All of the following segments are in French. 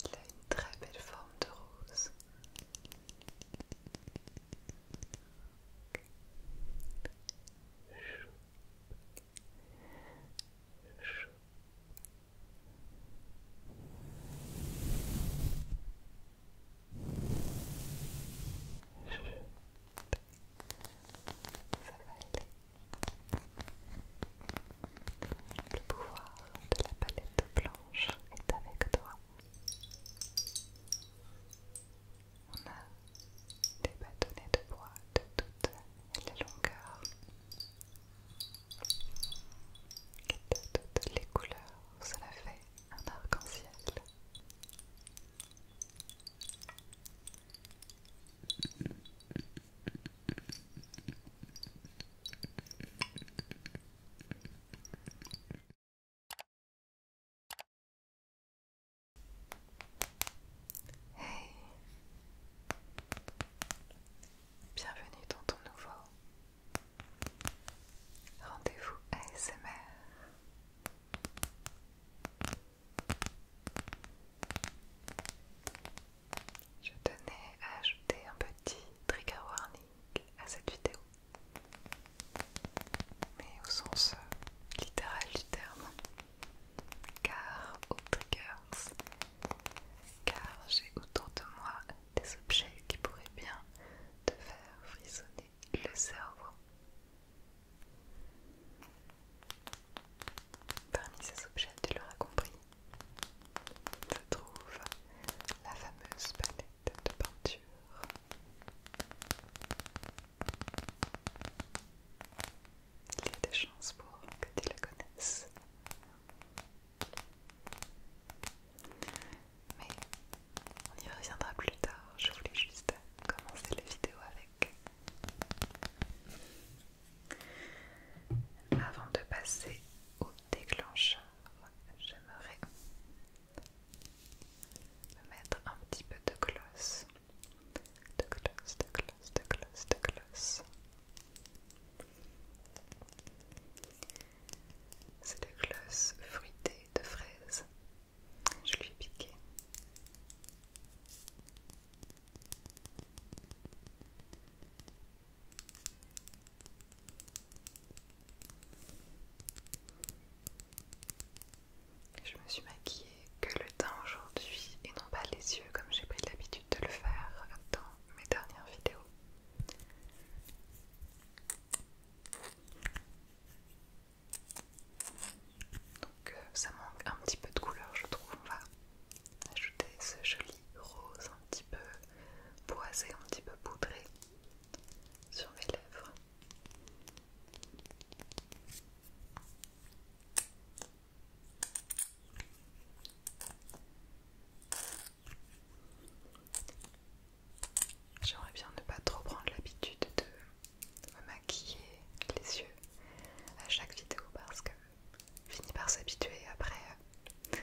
Il a une très belle forme de rose. Ça va le pouvoir de la palette blanche est avec toi. On a des bâtonnets de bois de toutes les longueurs et de toutes les couleurs. Cela fait un arc-en-ciel. Hey Bienvenue dans ton nouveau rendez-vous ASMR. Je tenais à ajouter un petit trigger warning à cette vidéo, mais au sens euh, littéral du terme, car au triggers, car j'ai autour de moi des objets qui pourraient bien te faire frissonner le cerveau. Parmi ces objets, tu l'auras compris, se trouve la fameuse palette de peinture. Il y a des chances pour que tu la connaisses. Mais on y reviendra plus tard, je voulais juste commencer la vidéo avec avant de passer au déclencheur, j'aimerais mettre un petit peu de gloss. De gloss, de gloss, de gloss, de gloss. C'est le gloss fruité de fraise. Je lui ai piqué. Je me suis maquillée que le teint aujourd'hui et non pas les yeux comme j'ai pris l'habitude de le faire dans mes dernières vidéos. Donc euh, ça manque un petit peu de couleur je trouve. On va ajouter ce joli rose un petit peu boisé, un petit peu poudré sur mes lèvres. J'aimerais bien ne pas trop prendre l'habitude de me maquiller les yeux à chaque vidéo parce que finit par s'habituer après euh,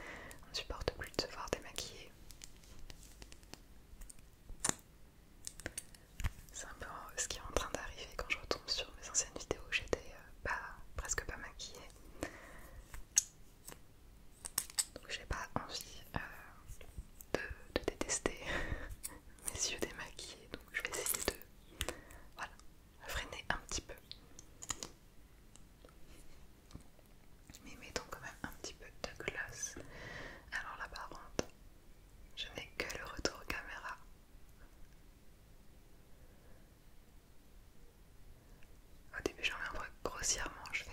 on ne supporte plus de se voir démaquiller. C'est un peu ce qui est en train d'arriver quand je retombe sur mes anciennes vidéos, j'étais euh, pas, presque pas maquillée. Donc j'ai pas envie euh, de, de détester mes yeux démaquillés, donc je vais essayer de voilà, freiner un petit peu. Mais mettons quand même un petit peu de gloss. Alors là par contre, je n'ai que le retour caméra. Au début j'en ai un peu grossièrement, je fais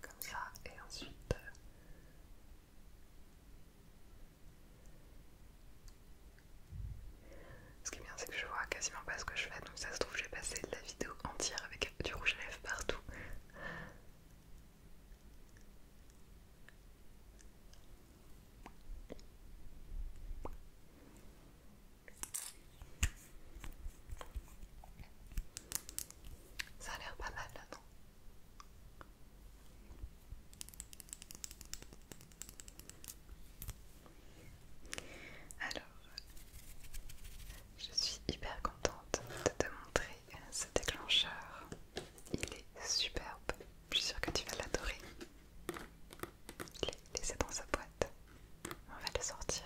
comme ça, et ensuite euh, ce qui est bien c'est que je vois quasiment pas ce que je fais donc ça se trouve j'ai passé la vidéo entière avec du rouge à lèvres partout ça a l'air pas mal là, non Alors, je suis hyper contente de te montrer ce déclencheur. Il est superbe. Je suis sûre que tu vas l'adorer. Il est laissé dans sa boîte. On va le sortir.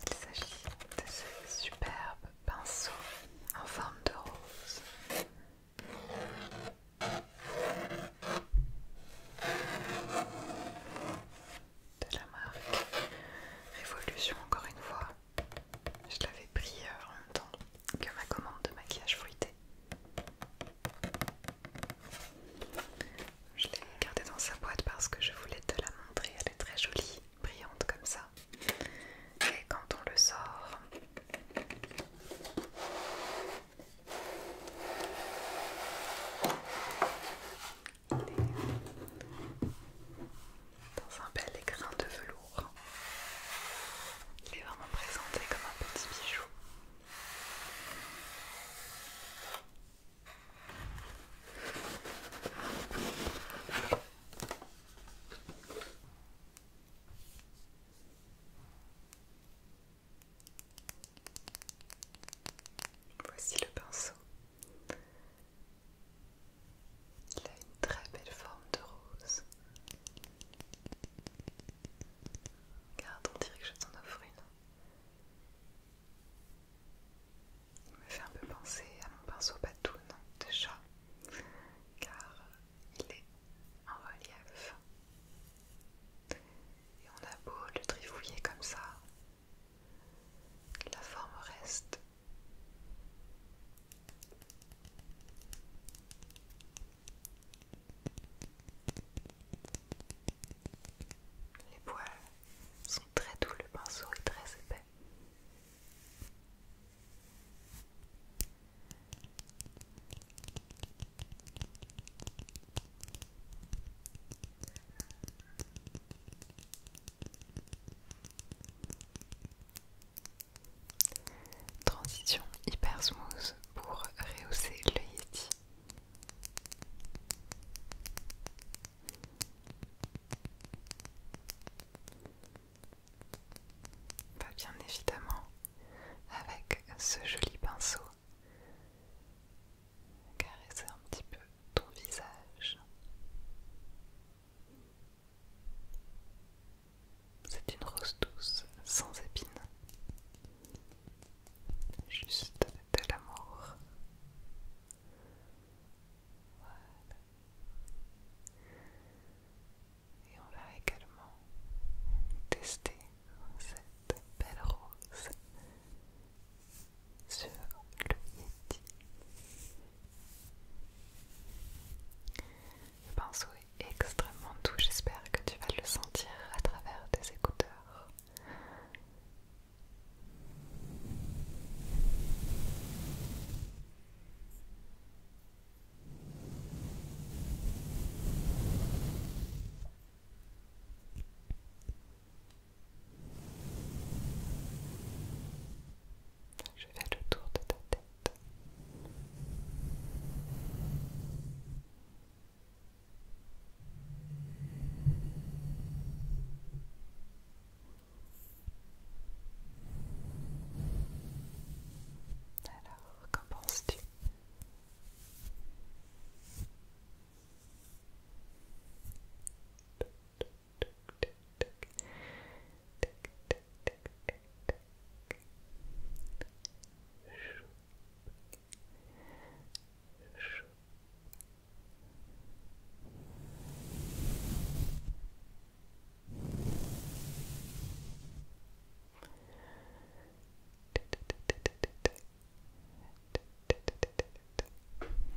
Il s'agit de ce superbe pinceau en forme de rose. De la marque Révolution, encore une fois. Je l'avais pris euh, en même temps que ma commande de maquillage fruité. Je l'ai gardé dans sa boîte parce que je voulais te la montrer. Elle est très jolie, brillante comme ça. Et quand on le sort, il est dans un bel écrin de velours. Il est vraiment présenté comme un petit bijou. Voici le pinceau. Il a une très belle forme de rose. Regarde, on dirait que je t'en offre une. Il me fait un peu penser à mon pinceau batoon de chat, car il est en relief. Et on a beau le trifouiller comme ça, la forme reste. Les poils sont très doux, le pinceau est très épais. Transition hyper smooth pour rehausser le Yeti va bien évidemment avec ce joli pinceau caresser un petit peu ton visage. C'est une rose douce sans épines. Juste de l'amour. Et on va également tester cette belle rose sur le midi. Le pinceau est extrêmement doux, j'espère que tu vas le sentir à travers tes écoutes. Je vais le tour de ta tête. Alors, qu'en penses-tu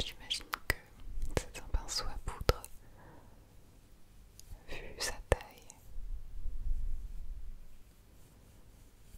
J'imagine que c'est un pinceau à poudre vu sa taille.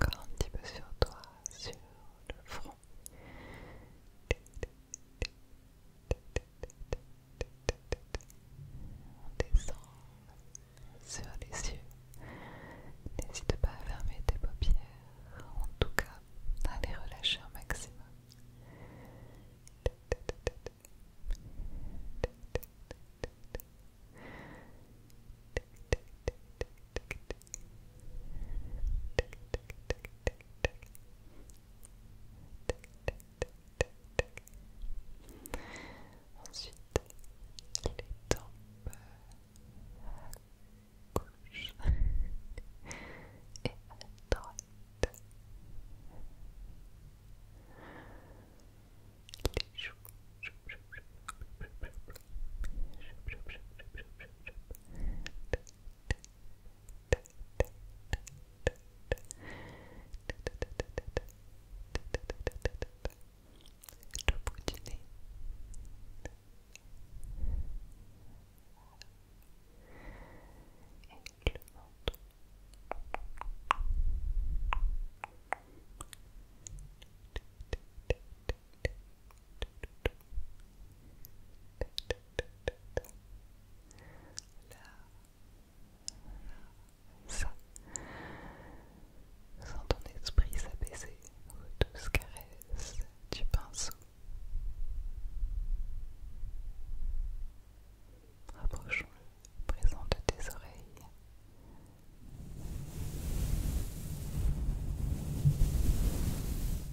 Encore un petit peu sur toi, sur le front. On descend sur les yeux. N'hésite pas à fermer tes paupières, en tout cas à les relâcher au maximum. Ensuite, les dents à gauche et à droite, les le bout du nez et le ventre là, ça, sans ton esprit s'abaisser aux douces caresses du pinceau. Rapprochons-le présent de tes oreilles.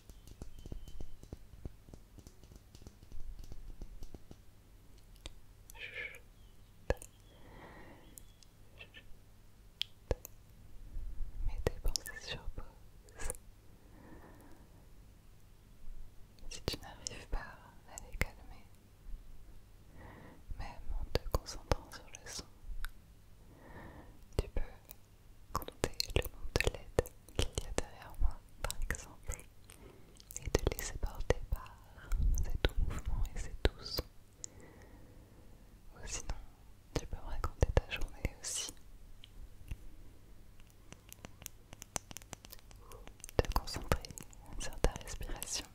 Mets tes pensées sur pause. Si tu n'arrives pas à les calmer, même en te concentrant sur le son, tu peux compter le nombre de LED qu'il y a derrière moi, par exemple, et de laisser porter par ces doux mouvements et ces doux Ou sinon, tu peux raconter ta journée aussi. Ou te concentrer sur ta respiration.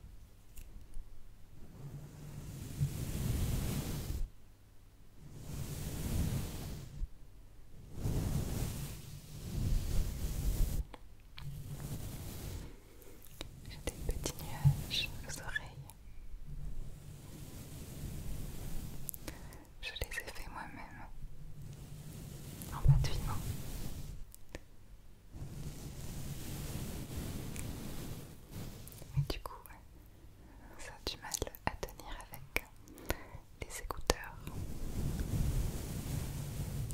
J'ai des petits nuages aux oreilles. Je les ai faits moi-même en vivant. Mais du coup, ça a du mal à tenir avec les écouteurs.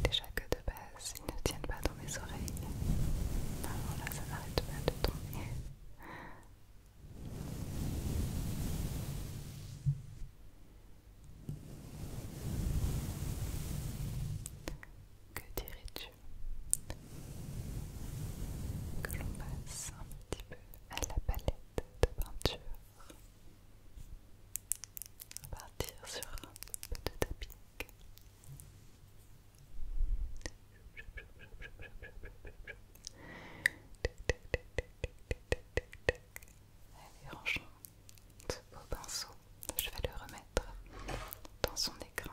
Déjà que de base, ils ne tiennent pas dans mes oreilles. Alors là, ça n'arrête pas de tomber. Que dirais-tu que l'on passe un petit peu à la palette de peinture. On partir sur un peu de tapis. Allez, rangeons ce beau pinceau. Je vais le remettre dans son écran.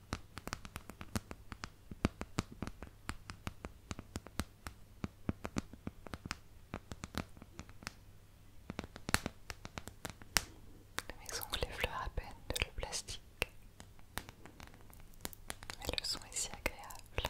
Mes ongles effleurent à peine de le plastique. Mais le son est si agréable.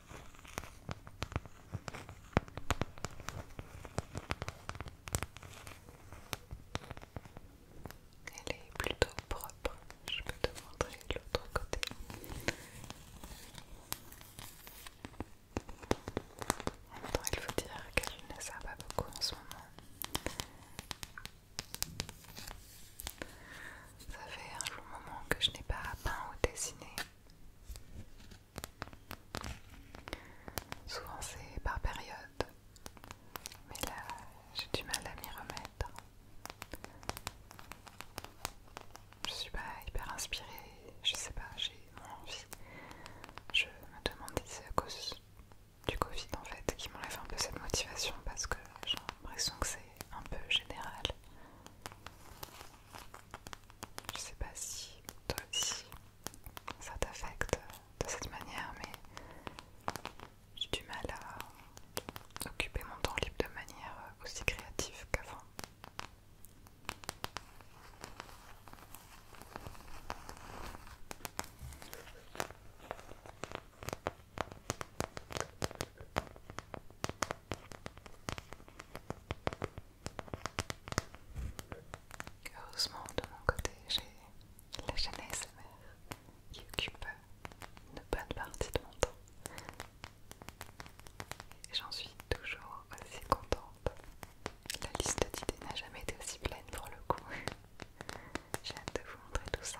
Elle est plutôt propre, je peux te montrer l'autre côté. En même il faut dire qu'elle ne sert pas beaucoup en ce moment. Ça fait un long moment que je n'ai pas peint ou dessiné. Souvent c'est par période, mais là j'ai du mal à m'y remettre. Je suis pas hyper inspirée, je sais pas, j'ai mon envie. Je me demande si c'est à cause du Covid en fait qui m'enlève un peu cette motivation parce que j'ai l'impression que c'est un peu général. Je sais pas si toi ça t'affecte de cette manière, mais j'ai du mal à occuper mon temps libre de manière aussi créative qu'avant. Heureusement, de mon côté, j'ai la chaîne ASMR qui occupe une bonne partie de mon temps. Et j'en suis toujours aussi contente. La liste d'idées n'a jamais été aussi pleine pour le coup. J'ai hâte de vous montrer tout ça.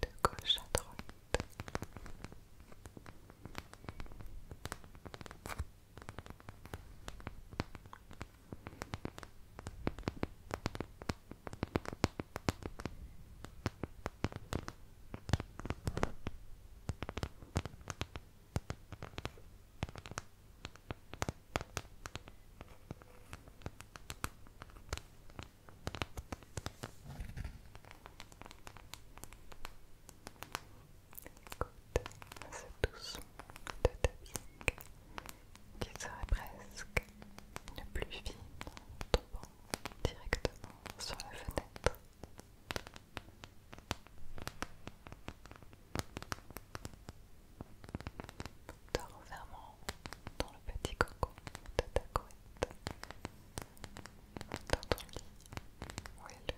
de gauche à droite. C'est ce son de tapping qui serait presque une pluie fine tombant directement sur la fenêtre te dans le petit coco de ta couette, dans ton lit où est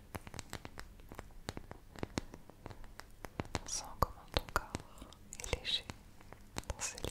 On sent comment ton corps est léger dans ce lit.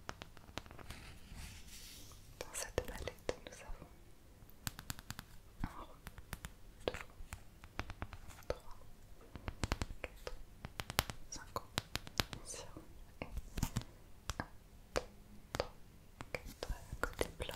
Dans cette palette, nous avons un rond, deux, trois, quatre, cinq un, deux, trois, quatre côté plat.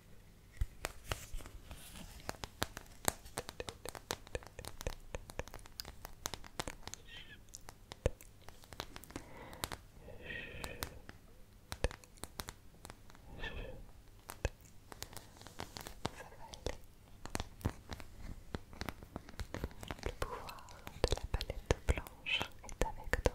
Le pouvoir de la palette blanche est avec toi.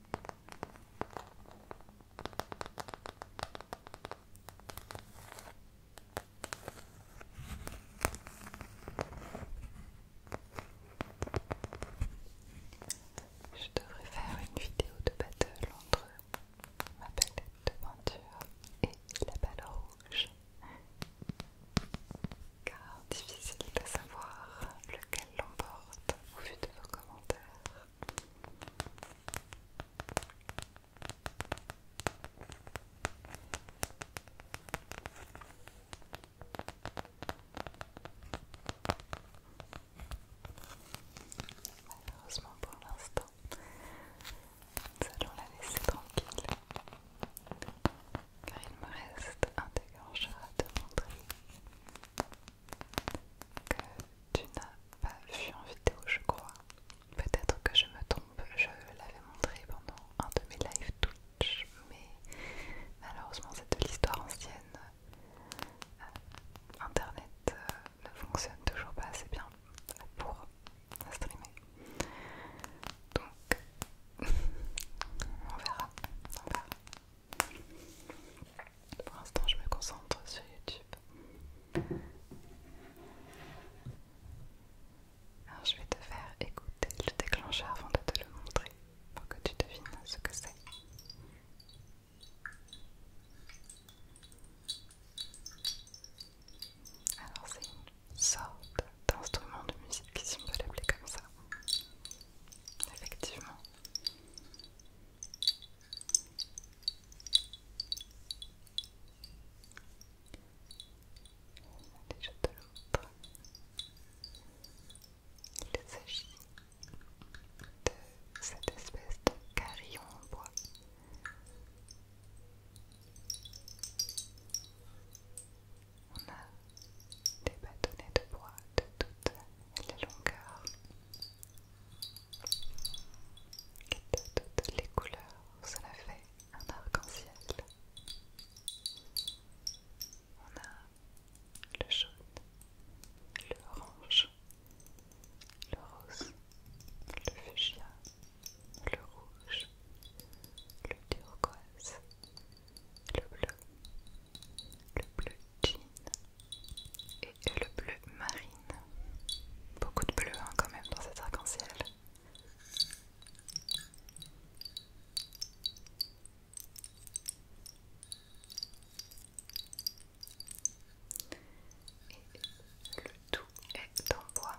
Je devrais faire une vidéo de battle entre ma palette de peinture et la balle rouge, car difficile de savoir lequel l'emporte au vu de vos commentaires. Malheureusement pour l'instant, nous allons la laisser tranquille car il me reste un dégorge à te montrer que tu n'as pas vu en vidéo, je crois. Peut-être que je me trompe, je l'avais montré pendant un de mes live Twitch, mais malheureusement, c'est de l'histoire ancienne. Euh, Internet euh, ne fonctionne toujours pas assez bien pour streamer. Donc, on verra. Pour l'instant, je me concentre sur YouTube. Alors, je vais te faire écouter le déclencheur avant de te le montrer pour que tu devines ce que c'est. Alors, c'est une sorte d'instrument de musique, si on peut l'appeler comme ça. Effectivement. On a déjà de l'autre. Il s'agit de cette espèce de carillon en bois. On a des bâtonnets de bois de toute la longueur toutes les couleurs, cela fait un arc-en-ciel. On a le jaune, le orange, le rose, le fuchsia, le rouge, le turquoise, le bleu, le bleu et le bleu marine. Beaucoup de bleu quand même dans cet arc-en-ciel. Et le tout est en bois.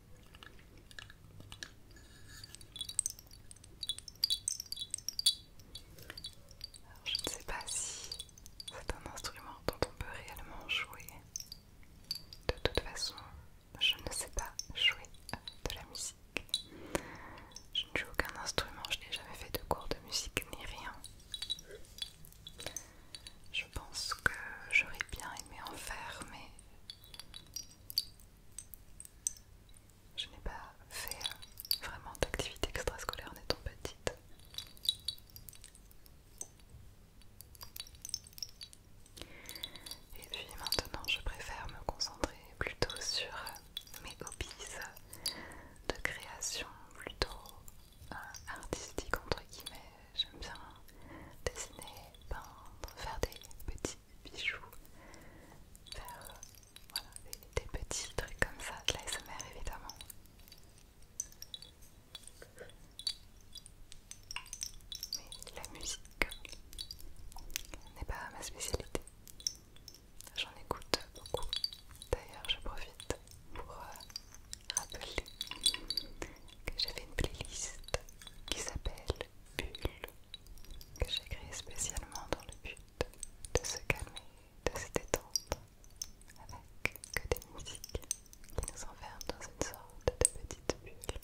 je ne sais pas si c'est un instrument dont on peut réellement jouer. De toute façon, je ne sais pas jouer de la musique. Je ne joue aucun instrument, je n'ai jamais fait de cours de musique ni rien. Je pense que j'aurais bien aimé en faire, mais je n'ai pas fait euh, vraiment d'activité extrascolaire étant petite. Et puis maintenant, je préfère me concentrer plutôt sur mes hobbies de création, plutôt euh, artistique entre guillemets, j'aime bien dessiner, peindre, faire des petits bijoux, faire des, petits trucs comme ça, de smr évidemment. Mais la musique euh, n'est pas ma spécialité. J'en écoute beaucoup. D'ailleurs, je profite pour euh, rappeler que j'avais une playlist qui s'appelle bulle que j'ai créée spécialement dans le but de se calmer, de se détendre avec que des musiques qui nous enferment dans une sorte de petite bulle.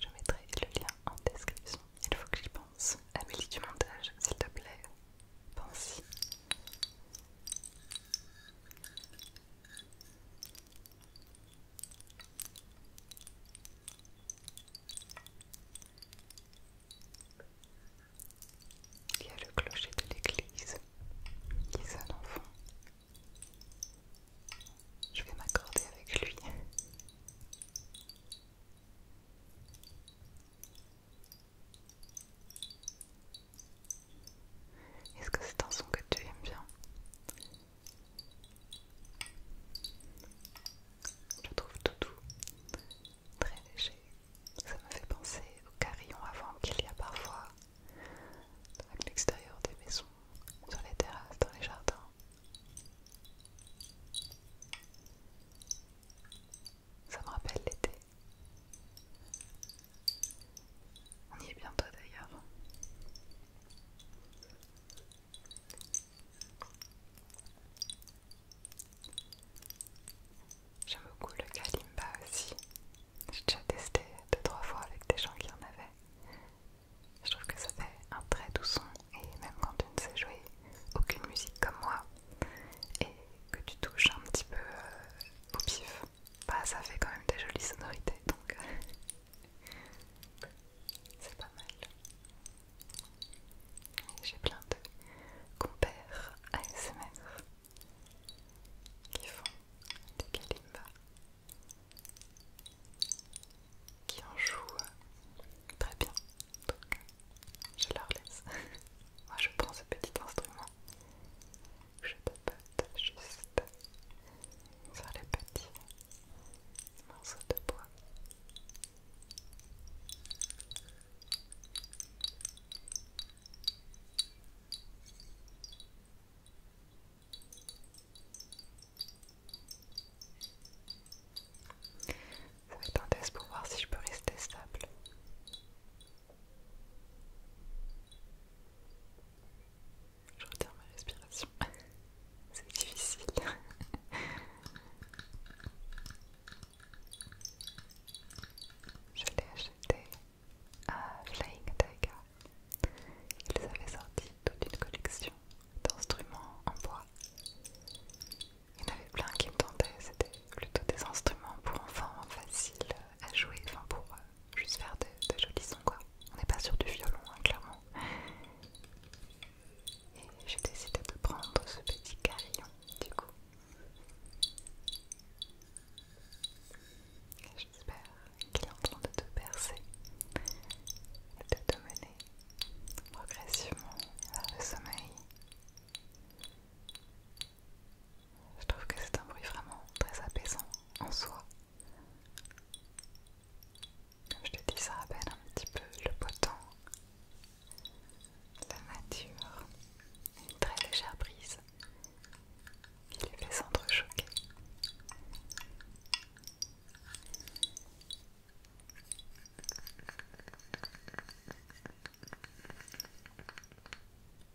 Je mettrai le lien en description. Il faut que j'y pense. Amélie du montage, s'il te plaît. Pense-y. Il y a le clocher de l'église qui sonne en Je vais m'accorder avec lui. Est-ce que c'est un son que tu aimes bien je trouve tout doux, très léger. Ça me fait penser aux carillons avant qu'il y a parfois à l'extérieur des maisons, sur les terrasses, dans les jardins. Ça me rappelle l'été. On y est bientôt d'ailleurs. J'aime beaucoup le kalimba aussi. J'ai déjà testé deux trois fois avec des gens qui en avaient. Je trouve que ça fait un très doux son et même quand tu ne sais jouer aucune musique comme moi et que tu touches un petit peu euh, au pif bah ça fait quand même des jolies sonorités donc euh, c'est pas mal. J'ai plein de compères ASMR qui font des kalimba, qui en jouent euh, très bien. Donc je leur laisse. Moi je prends ce petit instrument je tapote juste sur les petits morceaux de bois. Ça va être un test pour voir si je peux rester stable. Je retire ma respiration. C'est difficile. Je l'ai acheté à Flying Tiger. Ils avaient sorti toute une collection d'instruments en bois. Il y en avait plein qui me tentaient, c'était plutôt des instruments pour enfants faciles à jouer, enfin pour euh, juste faire de, jolis sons quoi. On n'est pas sur du violon hein, clairement. Et j'ai décidé de prendre ce petit carillon du coup. J'espère qu'il est en train de te percer et de te mener progressivement vers le sommeil. Je trouve que c'est un bruit vraiment très apaisant en soi je te dis, ça rappelle un petit peu le beau la nature, une très légère brise qui les fait s'entrechoquer.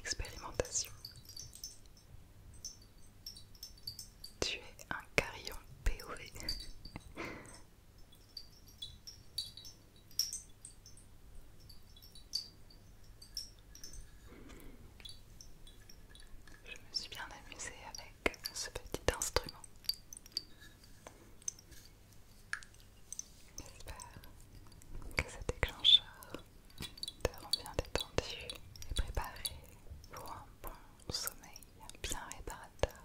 Expérimentation. Tu es un carillon POV. Je me suis bien amusée avec ce petit instrument. J'espère que ce déclencheur te rend bien détendu et préparé pour un bon sommeil bien réparateur.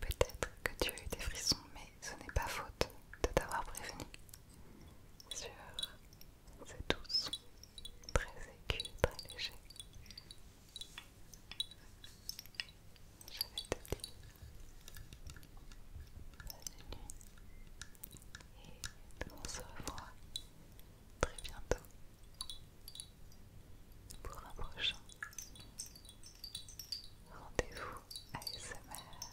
Peut-être que tu as eu des frissons, mais ce n'est pas faute de t'avoir prévenu sur c'est doux très aigu, très léger. Je vais te dire bonne nuit et on se revoit très bientôt pour un prochain rendez-vous à ASMR.